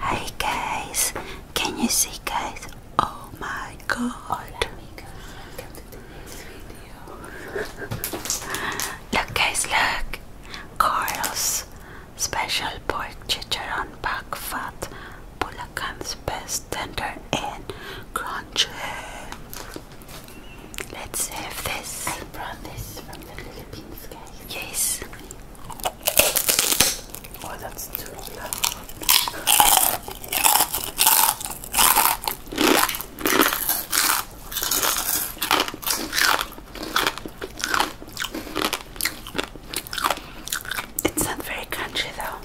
Hey guys, can you see guys? Oh my god. Look guys, look. Carl's special pork chicharon back fat. Bulacan's best tender and crunchy. Let's have this. Yes. Oh, that's too loud. It's not very crunchy though.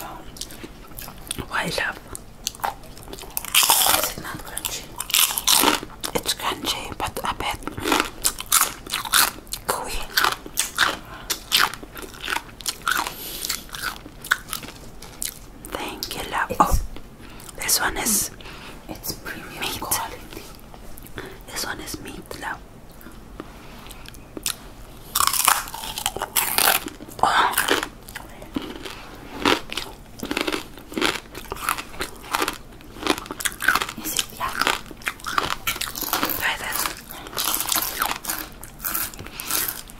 Oh. love? Is it not crunchy? It's crunchy, but a bit gooey. Thank you, love. oh, this one is. meat. This one is meat, love. Is it yummy? Try this.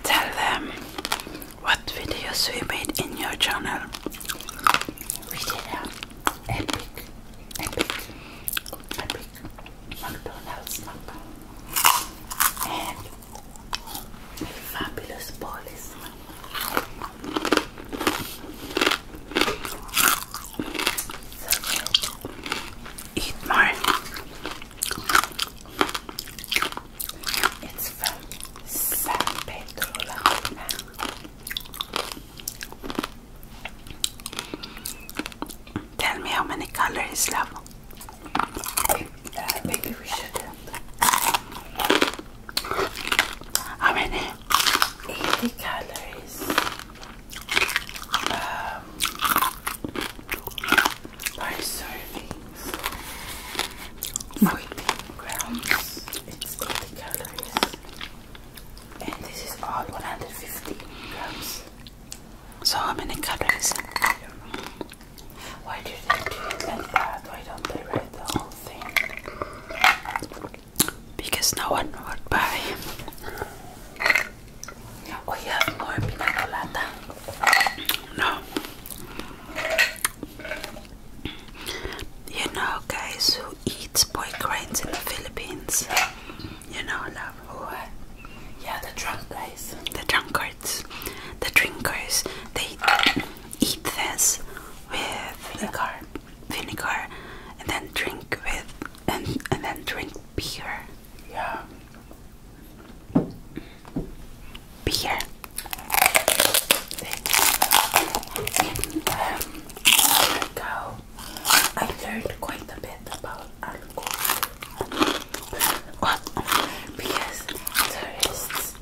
Tell them what videos we made in your channel. We did an epic, epic, epic McDonald's mukbang and fabulous police. Eat more. It's from San Pedro Tell me how many calories love. Uh, how many? calories is um, servings soybean mm. grounds. It's 80 calories, and this is all 150 grams. So how many calories? I do Why do they do that? Why don't they write the whole thing? because no one would buy. We have more pina No. You know, guys who eat boy grains in the Philippines. You know, love who? Uh, yeah, the drunk guys, the drunkards, the drinkers. They eat this with liquor vinegar and then drink with and and then drink beer. Yeah. Beer. Um, I learned quite a bit about alcohol. What? Because tourists,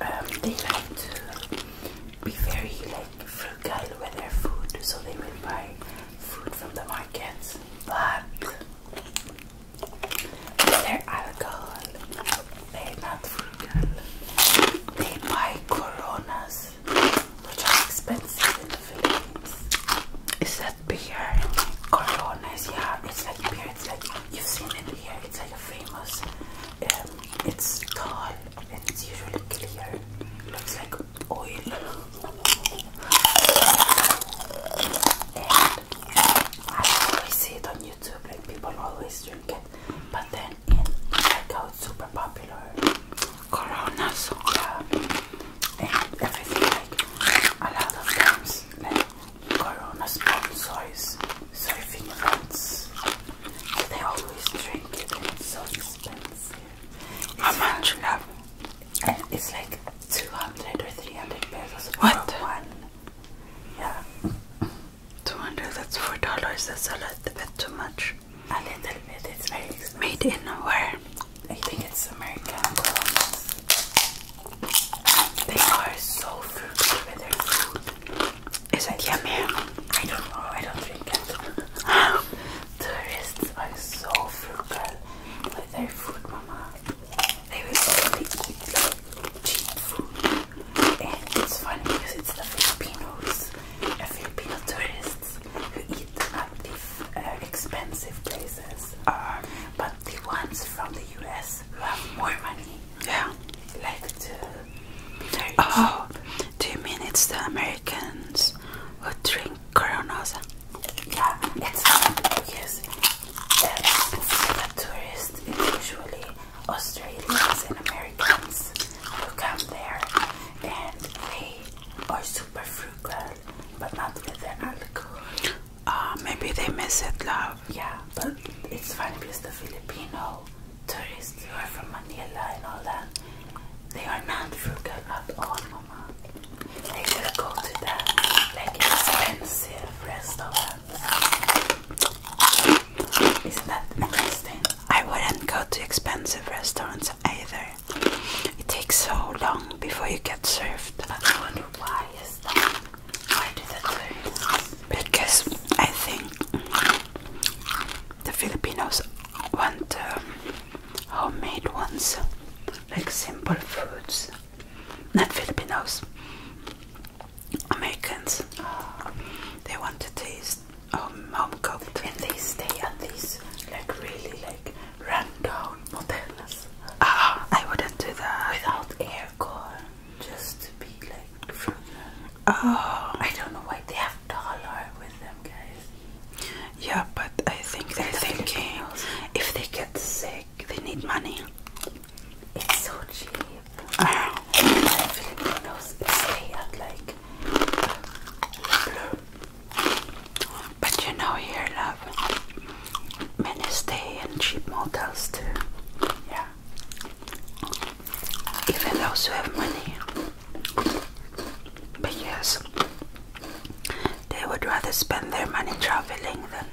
um, they like to be very like frugal with their food, so they will buy food from the markets. But their alcohol, they're not frugal. They buy Coronas, which are expensive in the Philippines. Is that beer? Coronas, yeah. It's like beer. It's like you've seen it here. It's like famous. Um, it's tall and it's usually clear. Looks like oil and I always see it on YouTube like people always drink it but then in like how super popular Corona soda and everything like a lot of times like Corona sponsors surfing events they always drink it so expensive how much, love? It's like 200 or 300 pesos. What? One. Yeah. 200, that's $4. That's a little bit too much. A little bit, it's Made in where? I think it's America. They are so fruity with their food. Is it yummy? I don't know, I don't drink it. Tourists are so frugal with their food, mama. They will only eat cheap food. And it's funny because it's the Filipinos, the uh, Filipino tourists who eat at the uh, expensive places. Um, but the ones from the US who have more money yeah. like to be very oh, do you mean it's the Americans who drink Coronas? Yeah, it's because uh, the tourists usually Australians and Americans who come there and they are super frugal but not with their alcohol. Uh, maybe they miss it, love. Yeah, but it's funny because the Filipino tourists who are from Manila and all that, they are not frugal at all, Mama. They should go to the expensive restaurants. Isn't that interesting? I wouldn't go to expensive restaurants either. It takes so long before you get served. I wonder why is that? Why do that? Because I think the Filipinos want um, homemade ones, like simple foods. Not Filipinos, Americans. They want to taste um, home cooked, and they stay at these like really like rundown hotels. Ah, I wouldn't do that without aircon, just to be like further. Oh, I don't know why they have yeah, but I think they're thinking if they get sick, they need money. It's so cheap. But you know here, love, many stay in cheap motels too. Yeah. Even those who have money. But they would rather spend their money traveling than.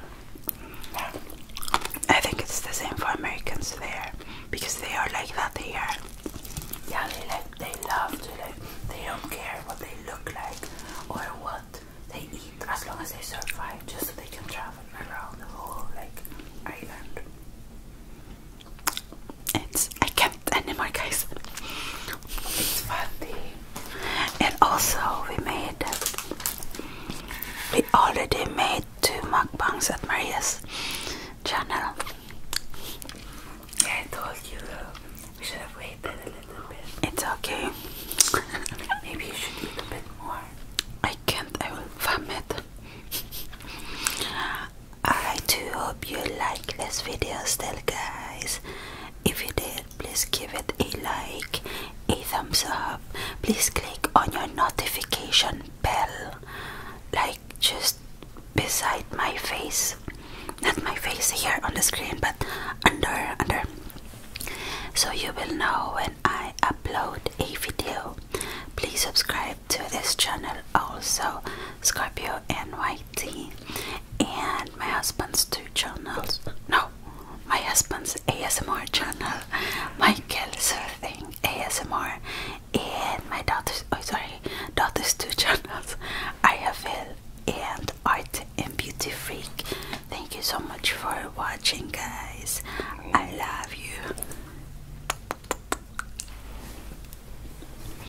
I think it's the same for Americans there because they are like that here. Yeah, they like they love to like they don't care what they look like or what they eat as long as they survive just so they can travel around the whole like island it's I can't anymore guys. It's funny. And also we made we already made two mukbangs at Maria's channel. Yeah, I told you we should have waited a little bit. It's okay. Maybe you should eat a bit more. I can't, I will vomit. I do hope you like this video still guys. If you did please give it a like, a thumbs up, please click on your notification bell like just beside my face. Not my face here on the screen but under under so you will know when I upload a video. Please subscribe to this channel also Scorpio NY IT and my husband's two channels. No, my husband's ASMR channel, Michael Surfing ASMR, and my daughter's oh sorry, daughter's two channels, Ayafil and Art and Beauty Freak. Thank you so much for watching guys. I love you.